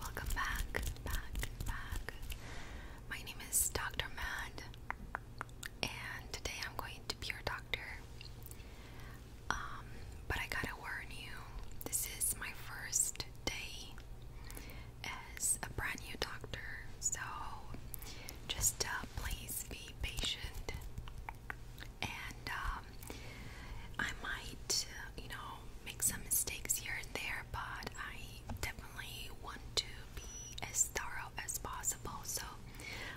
Welcome back, back, back. My name is Dr. Mad, and today I'm going to be your doctor. Um, but I gotta warn you, this is my first day as a brand new doctor, so just uh, please be patient. And um, I might, you know, make some mistakes here and there, but I definitely want to be as thorough as possible. So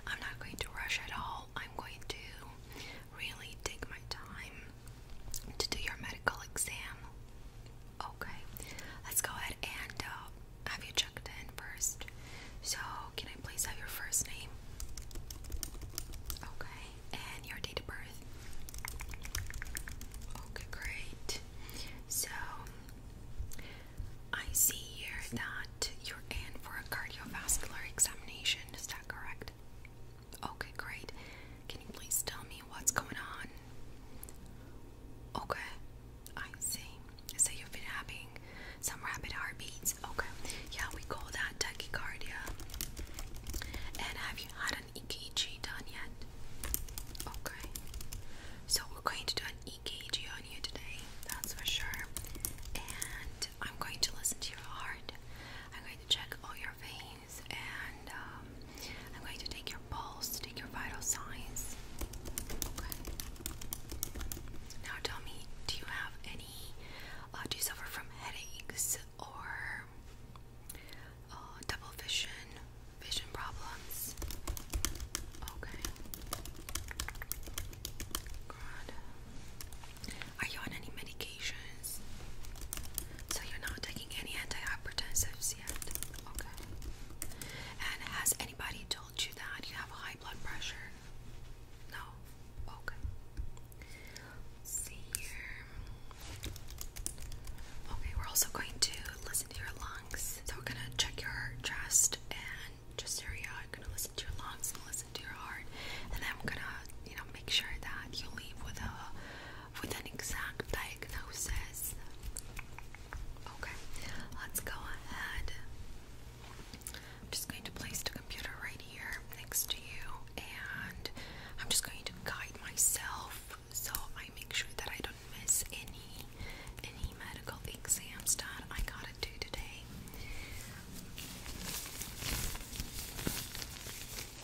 I'm not going to rush at all. I'm going to really take my time to do your medical exam. Okay, let's go ahead and uh, have you checked in first. So, can I please have your first name? Okay, and your date of birth? Okay, great. So, I see here that you're in for a cardiovascular examination, is that correct? Okay, great. Can you please tell me what's going on? Okay, I see. So you've been having some rapid heartbeats. Okay, yeah, we call that tachycardia. And have you had an EKG done yet? Okay, so we're going to do an EKG on you today, that's for sure. And I'm going to listen to your heart. I'm going to check all your veins and um, I'm going to take your pulse, take your vital signs. Okay. Now tell me, do you have any? Uh, do you suffer from headaches or uh, double vision, vision problems? Okay. Good. Are you on any medications? So you're not taking any antihypertensives, Okay. And has anybody told you that you have high blood pressure? No. Okay. see here. Okay, we're also going to listen to your lungs. So we're gonna check your chest and just area. i are gonna listen to your lungs and listen to your heart, and then I'm gonna, you know, make sure that you leave with a with an exact diagnosis. Okay, let's go ahead. I'm just going to place the computer right here next to you, and I'm just going to guide myself so I make sure that I don't miss any any medical exams that I gotta do today. Okay,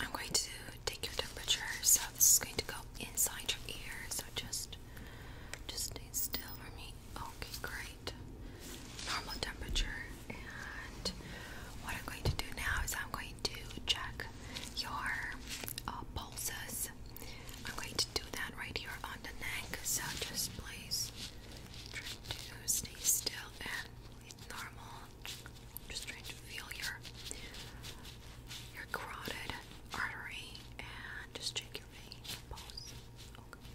I'm going to take your temperature. So this is going to go inside your ear. So just, just stay still for me. Okay, great. Normal temperature. And what I'm going to do now is I'm going to check your uh, pulses. I'm going to do that right here on the neck, so just please try to stay still and breathe normal. Just trying to feel your your carotid artery and just check your vein pulse. Okay.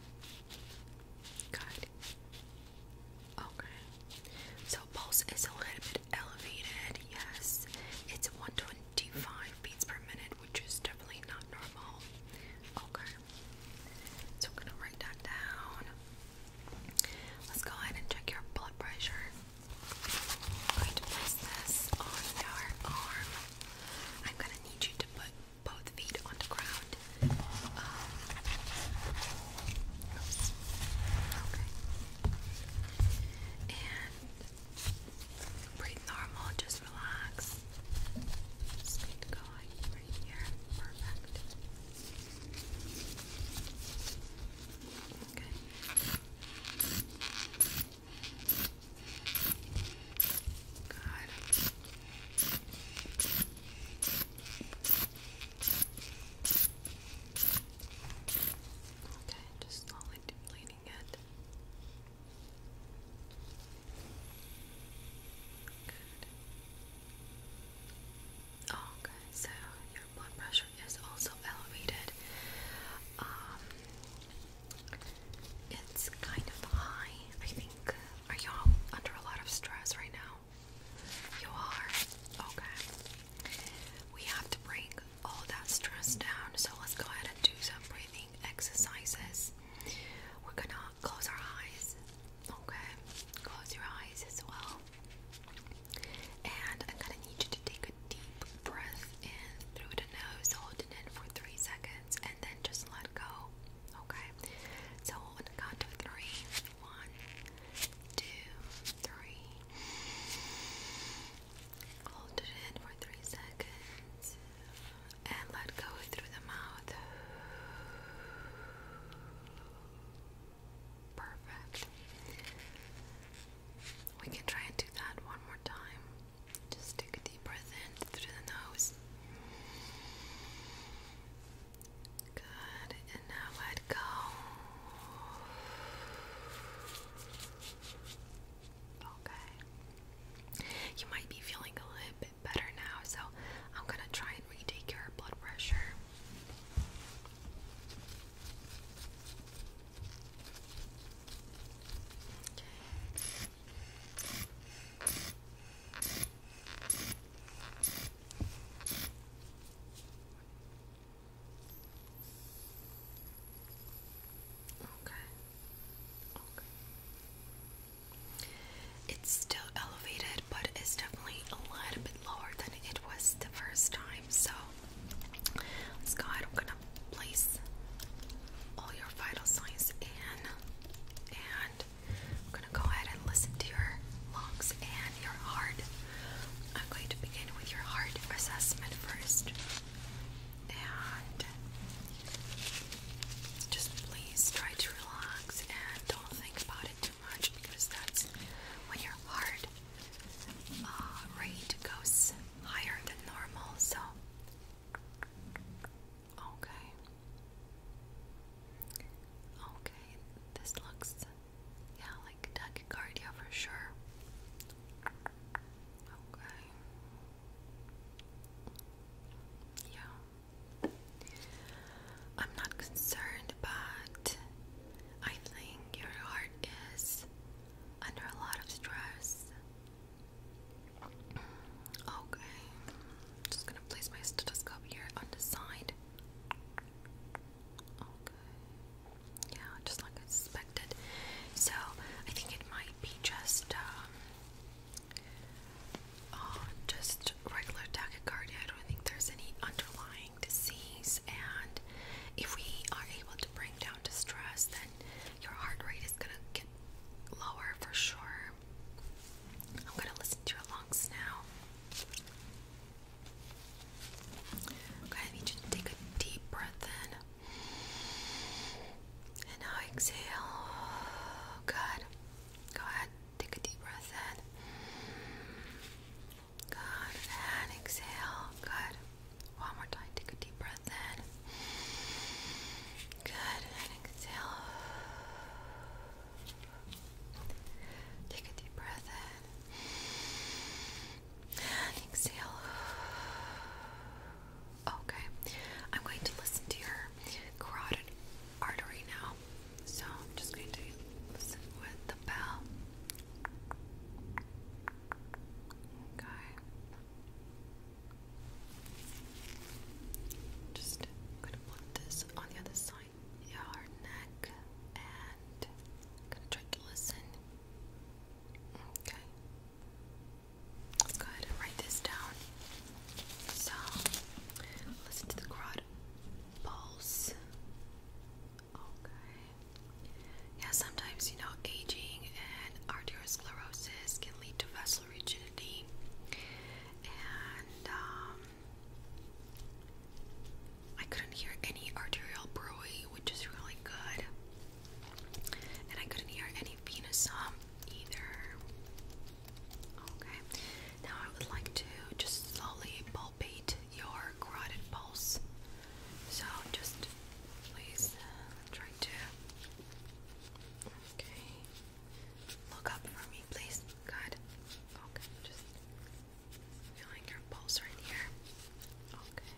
Good. Okay. So pulse is a little bit elevated, yes. It's 125 beats per minute, which is definitely not normal. Okay. So I'm gonna write that down. Let's go ahead and check your blood pressure. going to place this on your arm. I'm gonna need you to put both feet on the ground. Um, Oops. Okay. And breathe normal, just relax. Just keep going right here. Perfect. Okay. Good. Okay, just slowly depleting it. Good. Oh, okay, so your blood pressure is also elevated. Um, it's kind of high. I think. Are y'all under a lot of stress right now? You are? Okay. We have to bring all that stress down, so let's go ahead and do some breathing exercises. We're gonna close our eyes, okay? Close your eyes as well. And I'm gonna need you to take a deep breath in through the nose, hold it for three seconds, and then just let go, okay? So, on one, two, three. Hold it in for three seconds and let go through the mouth. Perfect. We can try and do that one more time. Just take a deep breath in through the nose Good, and now let go. Okay. You might be feeling a little bit better now, so I'm gonna try and retake your blood pressure. Okay. Okay. It's still elevated, but it's definitely a little bit lower than it was the first time. So let I'm gonna place all your vital signs in, and going to go ahead and listen to your lungs and your heart. I'm going to begin with your heart assessment first. And just please try to relax and don't think about it too much because that's when your heart uh, rate goes higher than normal. So, okay. Okay, this looks yeah, like tachycardia for sure. Okay. Yeah. I'm not concerned, but I think your heart is under a lot of stress. Okay. Just gonna place my stethoscope here on the side. Okay. Yeah, just like I suspected. So I think it might be just um oh, just regular tachycardia. I don't think there's any underlying disease and if we are able to bring down distress, then your heart rate is gonna get lower for sure. I'm gonna listen to your lungs now. Okay, I need you to take a deep breath in. And now exhale. Good. Go ahead. Take a deep breath in. Good. And exhale. Good. One more time. Take a deep breath in. Good. And exhale. Take a deep breath in exhale. Okay, I'm going to listen to your carotid artery now. So I'm just going to listen with the bell. Okay. Just gonna put this on the other side your neck and I'm gonna try to listen. Okay. Go ahead and write this down. So listen to the crowd pulse. Okay. Yeah, sometimes you know aging and arteriosclerosis can lead to vessel rigidity and um, I couldn't hear any arterial brewery, which is really good. And I couldn't hear any venous hum either. Okay, now I would like to just slowly palpate your carotid pulse. So just please uh, try to. Okay. Look up for me, please. Good. Okay, just feeling your pulse right here. Okay.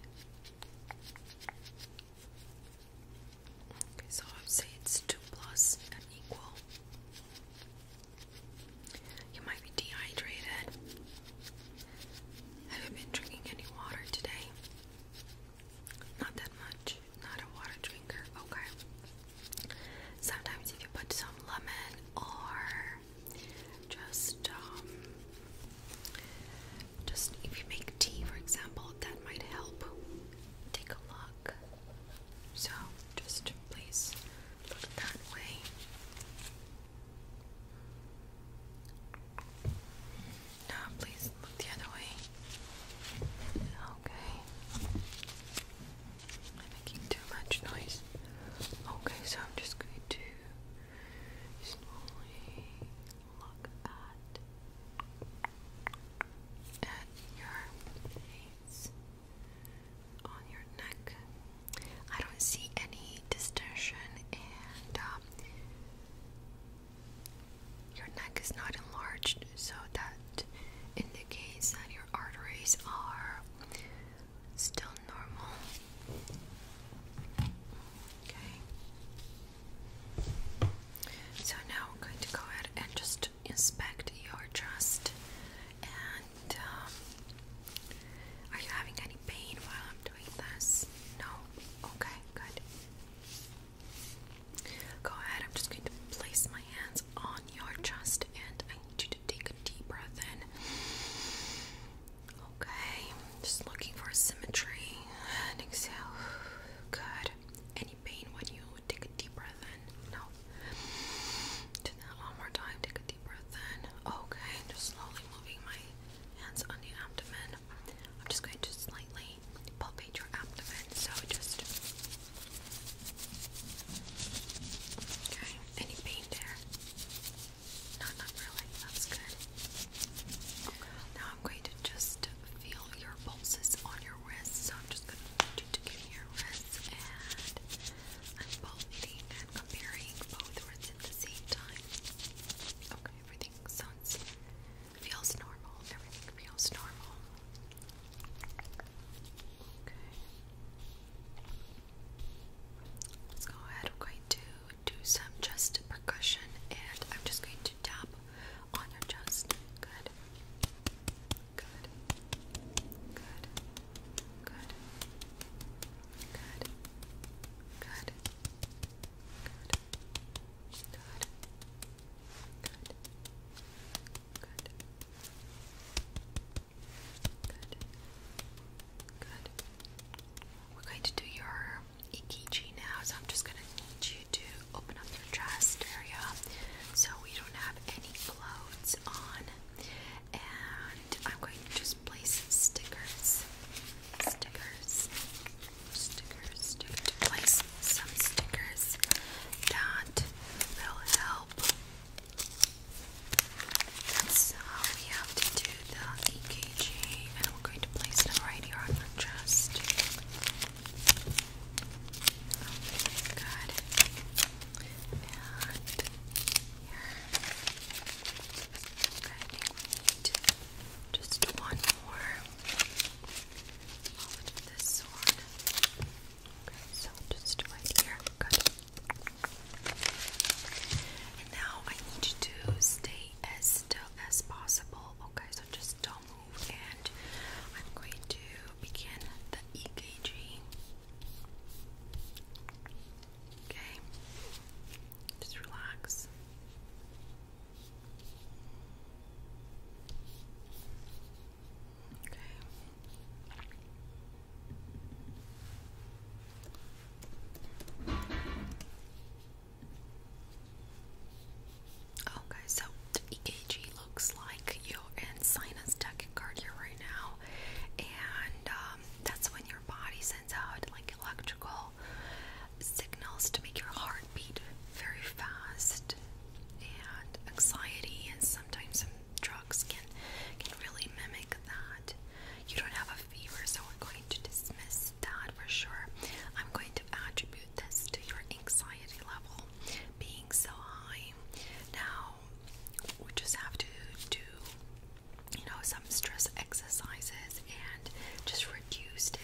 Okay, so I would say it's two plus and equal. You might be dehydrated. Have you been drinking any water today? Not that much. Not a water drinker. Okay. Sometimes if you put some lemon or just um, just if you make tea, for example, that might help. Take a look. So just please look that way. No, please look the other way. Okay. I'm making too much noise. Okay, so I'm just going to slowly look at at your face on your neck. I don't see any distortion, and um, your neck is not enlarged so that indicates that your arteries are still normal. Okay. So now we're going to go ahead and just inspect your chest. And um, are you having any pain while I'm doing this? No. Okay, good. Go ahead, I'm just going to place my hands on your chest and I need you to take a deep breath in. Okay, just looking for symmetry and exhale. Good. Any pain when you take a deep breath in? No. Do that one more time. Take a deep breath in. Okay, just slowly moving my hands on your abdomen. I'm just going to slightly palpate your abdomen. So just Okay, any pain there? No, not really, that's good. Okay. Now I'm going to just feel your pulses on your wrist, so I'm just going to need you to give me your wrist and I'm palpating and comparing both wrists at the same time. Okay, everything sounds, feels normal, everything feels normal. Okay. Let's go ahead. I'm going to do some just percussion and I'm just going to tap on your chest. Good. Good. Good. Good. Good. Good. Good. Good. Good. We're going to do your EKG now, so I'm just going to need you to open up your chest area so we don't have any clothes on. And I'm going to just place stickers, stickers, stickers, stickers some stickers that will help. That's we have to do the EKG, and we're going to place them right here on the chest. Okay, good. here. just one more. Okay, so just right here. Good. And now I need to stay as still as possible. Okay, so just don't move. And I'm going to begin the EKG. Okay, just relax. Okay. Okay, so the EKG looks like you're in sinus tachycardia right now, and um, that's when your body sends out like electrical signals to make your heart very fast and anxiety, and sometimes some drugs can can really mimic that. You don't have a fever, so we're going to dismiss that for sure. I'm going to attribute this to your anxiety level being so high. Now we just have to do you know some stress exercises and just reduce it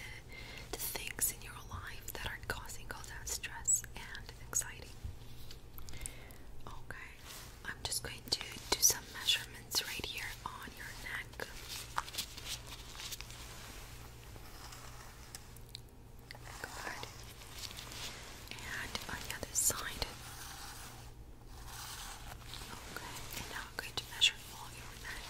the things in your life that are causing all that stress and anxiety. Okay, I'm just going to do some measurements right here on your neck. Good. And on the other side. Okay, and now I'm going to measure all your neck.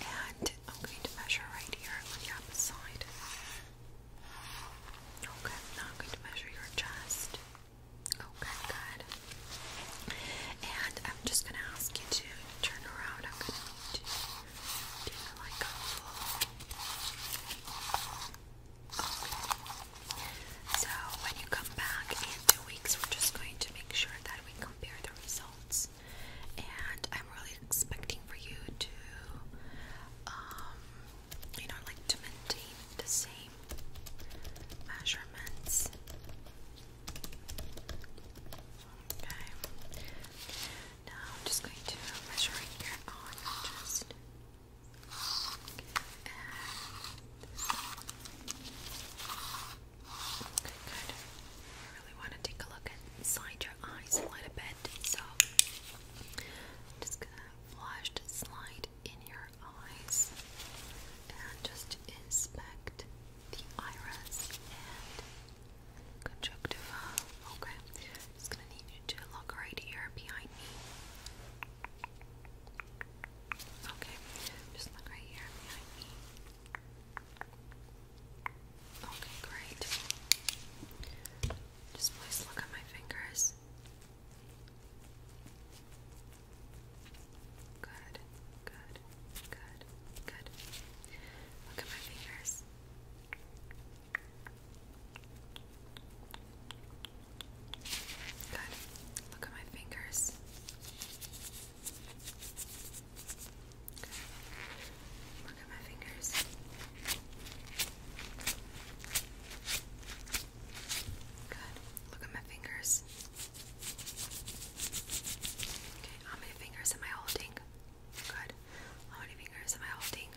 And I'm going to measure right here on the opposite side. Okay, I'm going to measure your chest. Okay, good. And I'm just going to ask you to turn around. I'm going to do like a so when you come back in two weeks, we're just going to make sure that we compare the results. And I'm really expecting for you to, um, you know, like to maintain the same measurements. Okay. Now I'm just going to measure your chest. And I really want to take a look inside your eyes a bit, so just gonna flash the slide in your eyes and just inspect the iris and conjunctiva. Okay, just gonna need you to look right here behind me. Okay, just look right here behind me. Okay, great. Just please look at my fingers. Good, good, good, good. Look at my fingers. Good. Look at my fingers. Look at my fingers. Good. Look at my fingers. Okay, how many fingers am I holding? Good. How many fingers am I holding?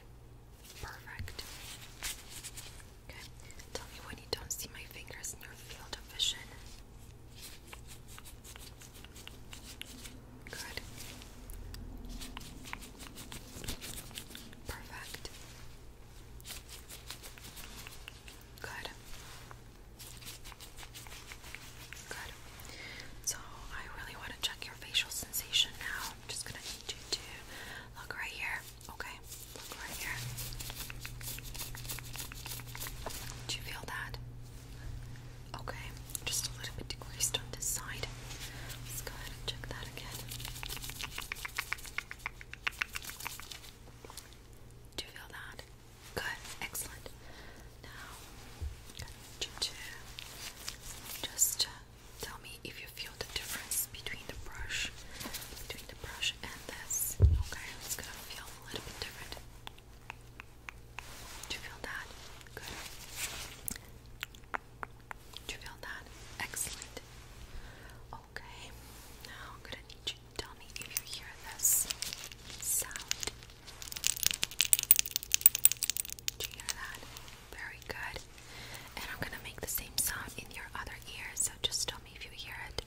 Perfect. Okay, tell me when you don't see my fingers in your field of vision. Good. Perfect. Good. Good. So I really want to check your facial sensation now. I'm just gonna need you to look right here. Okay, look right here. Do you feel that? Okay, just a little bit decreased on this side. Let's go ahead and check that again. Do you feel that? Good, excellent. Now, I need just uh, tell me if you feel the difference between the brush, between the brush and and this. Okay, it's gonna feel a little bit different. Do you feel that? Good. Do you feel that? Excellent. Okay, now I'm gonna need you to tell me if you hear this sound. Do you hear that? Very good. And I'm gonna make the same sound in your other ear, so just stop if you hear it.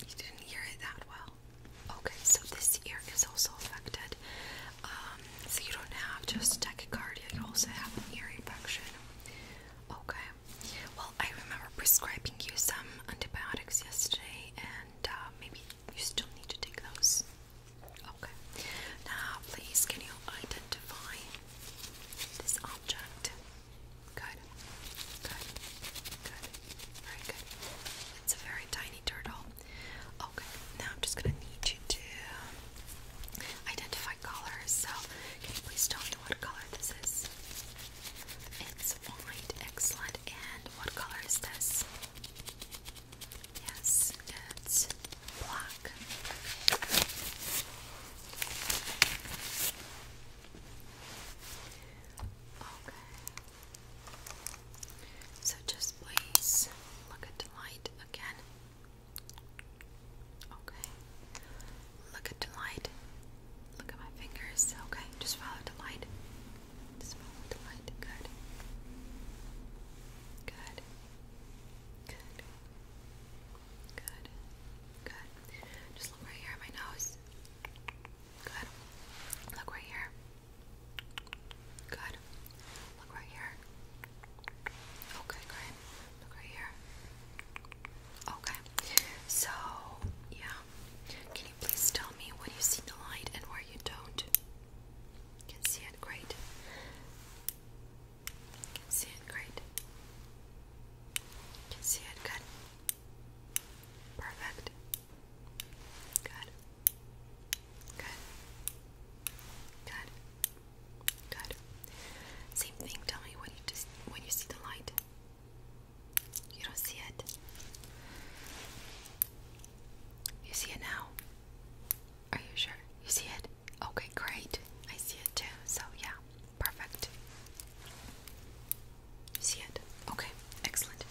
You didn't hear it that well. Okay, so this ear is also affected. Um, so you don't have just a tachycardia, you also have an ear infection. Okay. Well, I remember prescribing you some antibiotics yesterday, and uh, maybe you still need to take those. Okay. Now, please, can you identify this object. Good, good, good, very good. It's a very tiny turtle. Okay, oh, now I'm just gonna need you to identify colors. So, can you please tell me what color this is? It's white, excellent. And what color is this? Yes, it's black. So just please look at the light again. Okay. Look at the light. Look at my fingers. Okay. Just follow the light. Just follow the light. Good. Good. Good. Good. Good. Just look right here my nose. Good. Look right here. Good. Look right here. Okay, great. Look right here. Okay. So, yeah. Can you please tell me when you see the light and where you don't? can see it, great. You can see it great. You can see it good. Perfect. Good. Good. Good. Good. Same thing. Tell me when you just when you see the light. You don't see it. You see it now. Are you sure? You see it? Okay, great. I see it too. So, yeah, perfect. see it? Okay, excellent.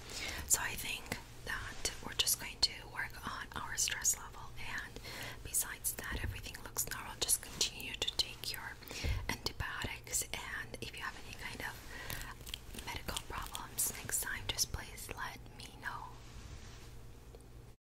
So, I think that we're just going to work on our stress level, and besides that, everything looks normal. Just continue to take your antibiotics, and if you have any kind of medical problems next time, just please let me know.